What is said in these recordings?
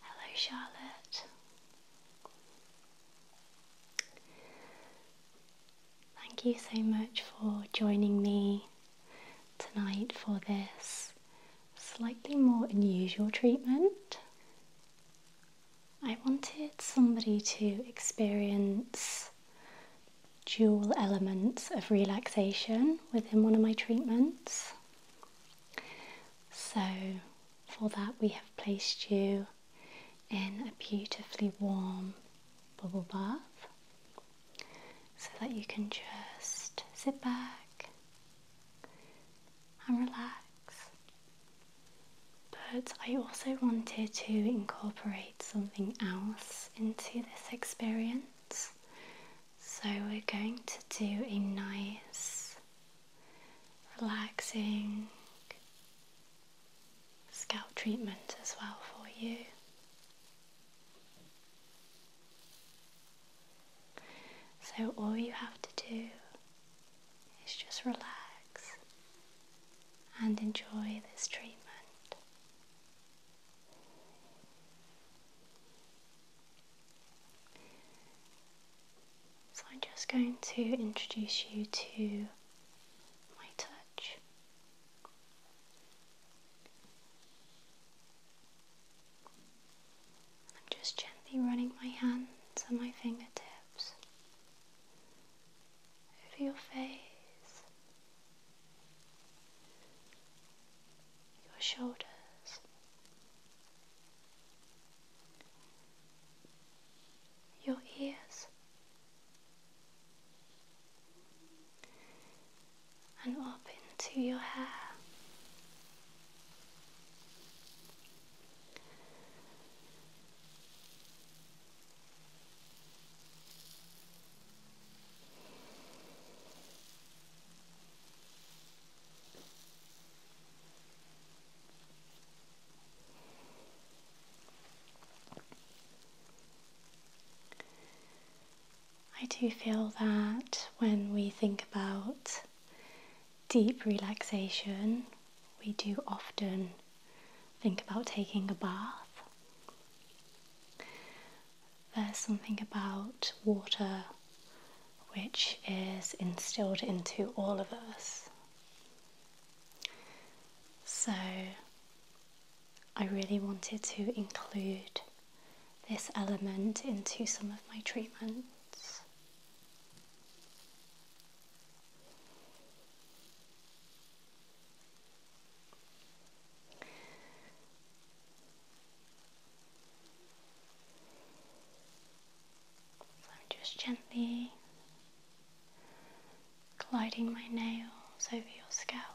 Hello, Charlotte. Thank you so much for joining me tonight for this slightly more unusual treatment. I wanted somebody to experience dual elements of relaxation within one of my treatments. So, for that, we have placed you in a beautifully warm bubble bath so that you can just sit back and relax. But I also wanted to incorporate something else into this experience. So we're going to do a nice, relaxing, scalp treatment as well for you. So, all you have to do is just relax and enjoy this treatment. So, I'm just going to introduce you to my touch. I'm just gently running my hands and my fingertips over your face, your shoulders. Your ears, and up into your hair. I do feel that when we think about deep relaxation, we do often think about taking a bath. There's something about water which is instilled into all of us. So, I really wanted to include this element into some of my treatments. So I'm just gently gliding my nails over your scalp.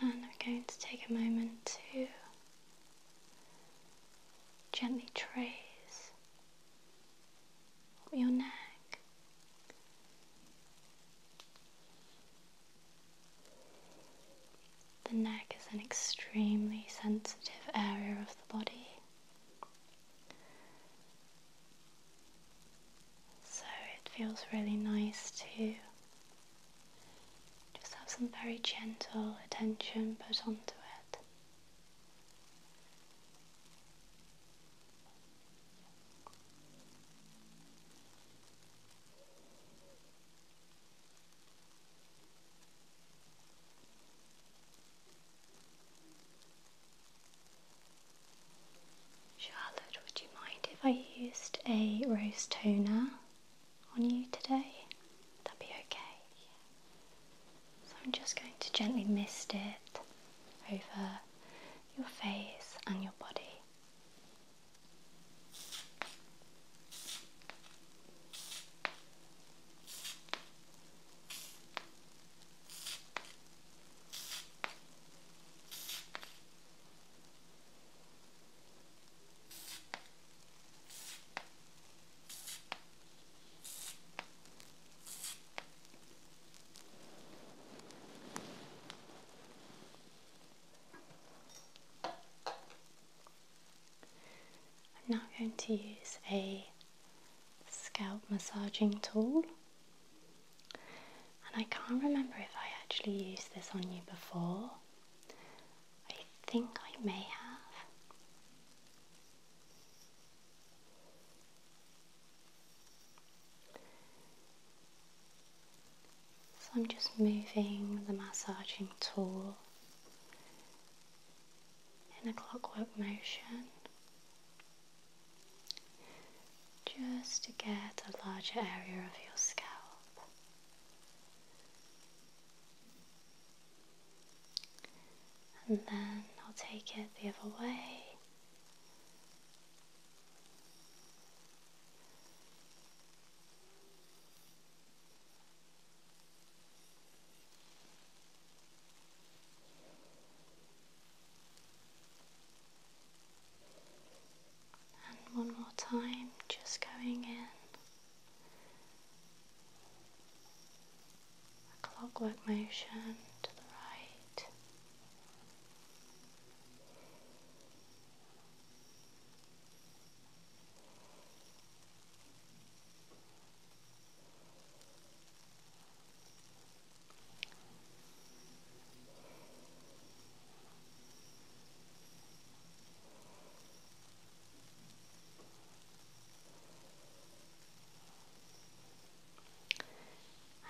And we're going to take a moment to gently trace your neck. The neck is an extremely sensitive area of the body. So it feels really nice to just have some very gentle attention put onto it. Charlotte, would you mind if I used a rose toner on you today? that Would be okay? So I'm just going to gently mist it over your face and your body. I'm now going to use a scalp massaging tool and I can't remember if I actually used this on you before. I think I may have. So I'm just moving the massaging tool in a clockwork motion just to get a larger area of your scalp. And then I'll take it the other way. And one more time, just going in a clockwork motion to the right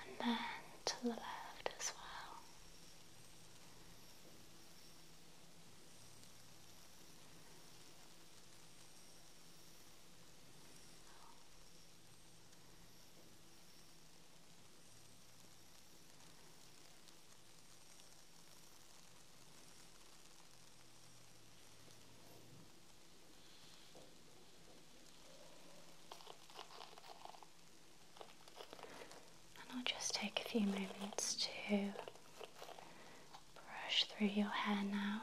and then to the left as well. And I'll just take a few moments to brush through your hair now.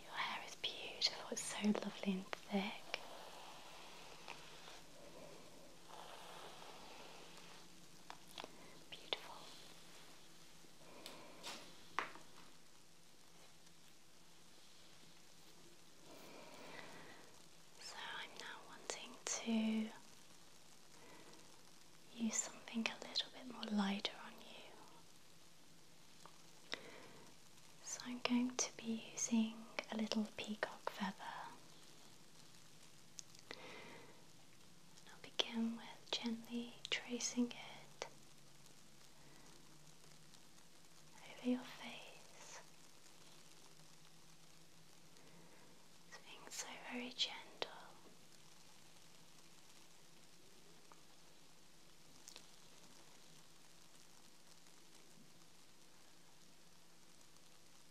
Your hair is beautiful, it's so lovely and thick. Beautiful. So I'm now wanting to use something a little bit more lighter on you. So I'm going to be using a little peacock feather. I'll begin with gently tracing it over your face. being so very gentle.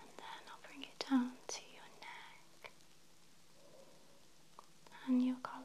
And then I'll bring it down to your neck and your collarbone.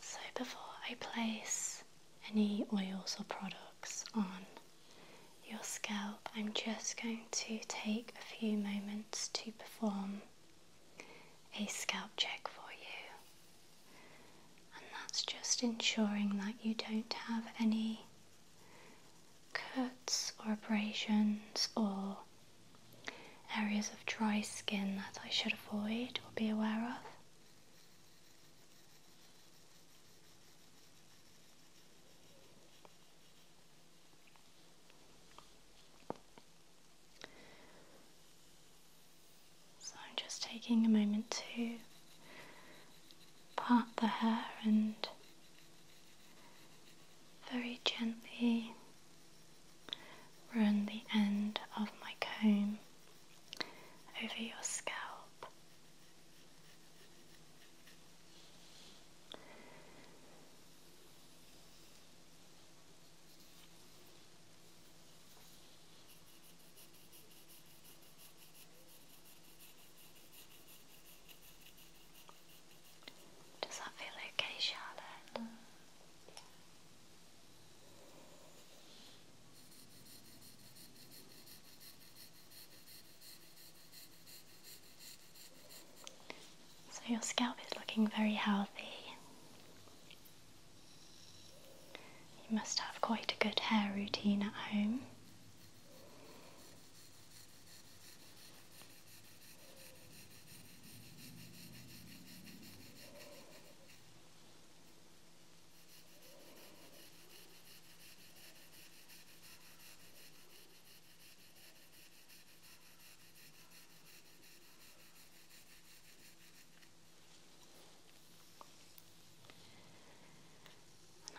So before I place any oils or products on your scalp, I'm just going to take a few moments to perform a scalp check for you. And that's just ensuring that you don't have any cuts or abrasions or areas of dry skin that I should avoid or be aware of. So I'm just taking a moment to part the hair and very gently Run the end of my comb over your scalp. Does that feel okay, Charlotte? So your scalp is looking very healthy. You must have quite a good hair routine at home.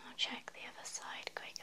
I'll check the other side quickly.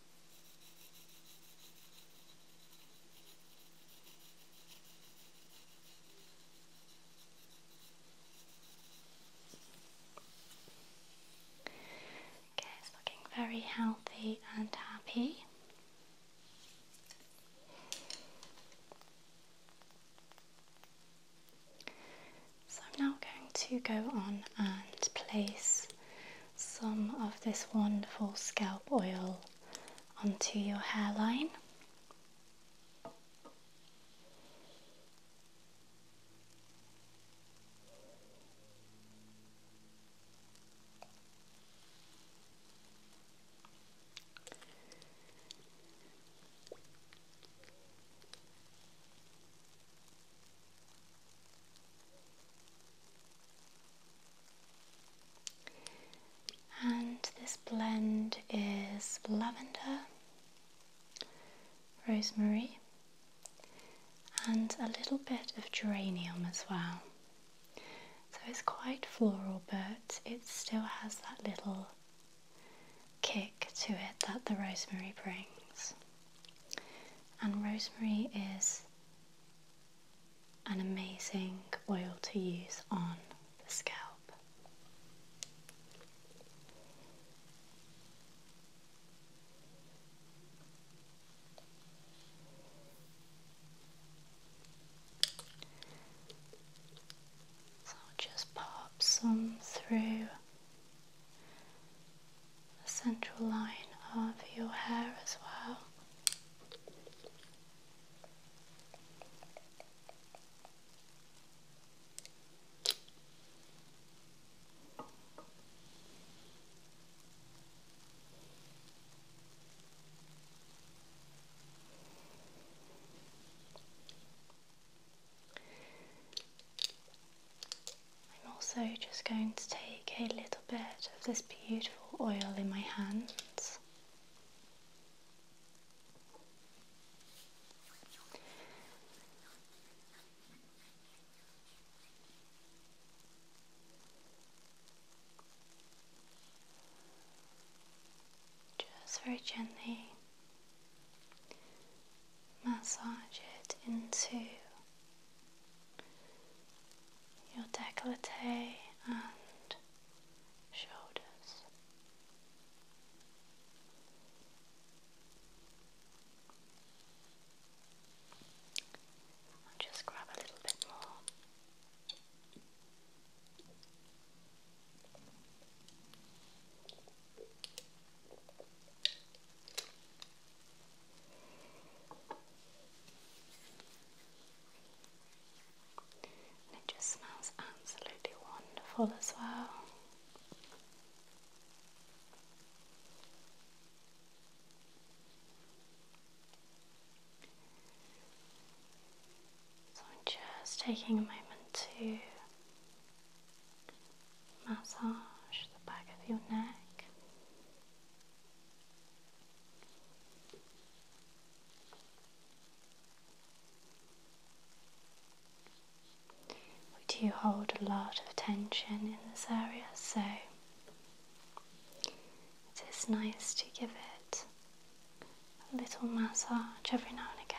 Okay, it's looking very healthy and happy. So I'm now going to go on and place some of this wonderful scalp oil onto your hairline. And this blend is lavender, rosemary, and a little bit of geranium as well. So it's quite floral, but it still has that little kick to it that the rosemary brings. And rosemary is an amazing oil to use on the scalp. So I'll just pop some through the central line of your hair as well. I'm also just going to take a little bit of this beautiful oil in my hands. Just very gently massage it into your decollete and shoulders. just grab a little bit more it just smells absolutely wonderful as well. So I'm just taking a moment to massage the back of your neck. We do hold a lot of tension in this area, so it is nice to give it a little massage every now and again.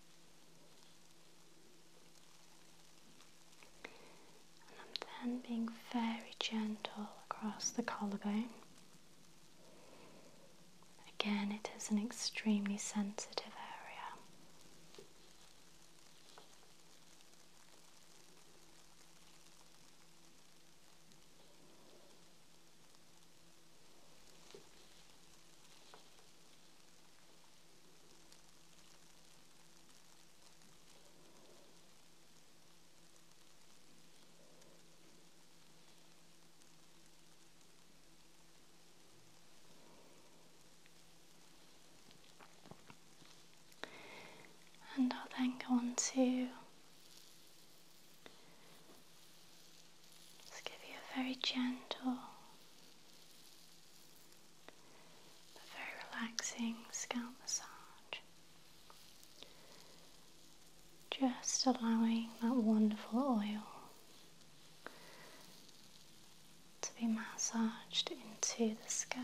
I'm then being very gentle across the collarbone. Again, it is an extremely sensitive area. And I'll then go on to just give you a very gentle but very relaxing scalp massage. Just allowing that wonderful oil to be massaged into the scalp.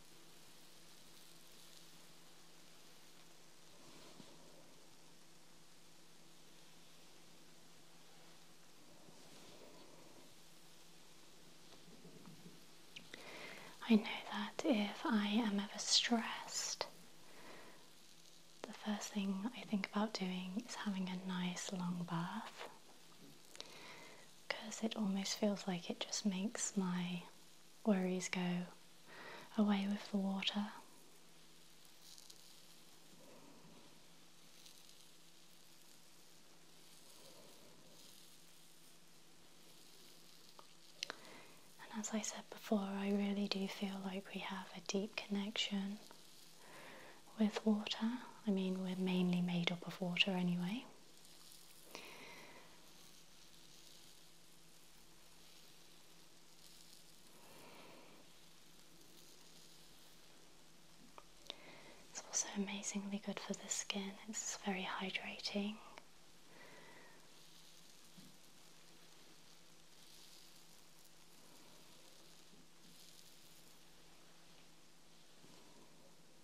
I know that if I am ever stressed, the first thing I think about doing is having a nice long bath because it almost feels like it just makes my worries go away with the water. And as I said before, I really do feel like we have a deep connection with water. I mean, we're mainly made up of water anyway. It's also amazingly good for the skin, it's very hydrating.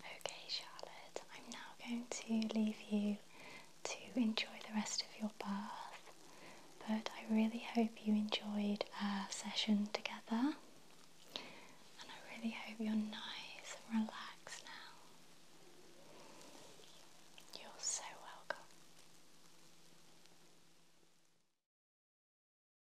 Okay, Charlotte, I'm now going to leave you to enjoy the rest of your bath, but I really hope you enjoyed our session together, and I really hope you're nice and relaxed now. You're so welcome.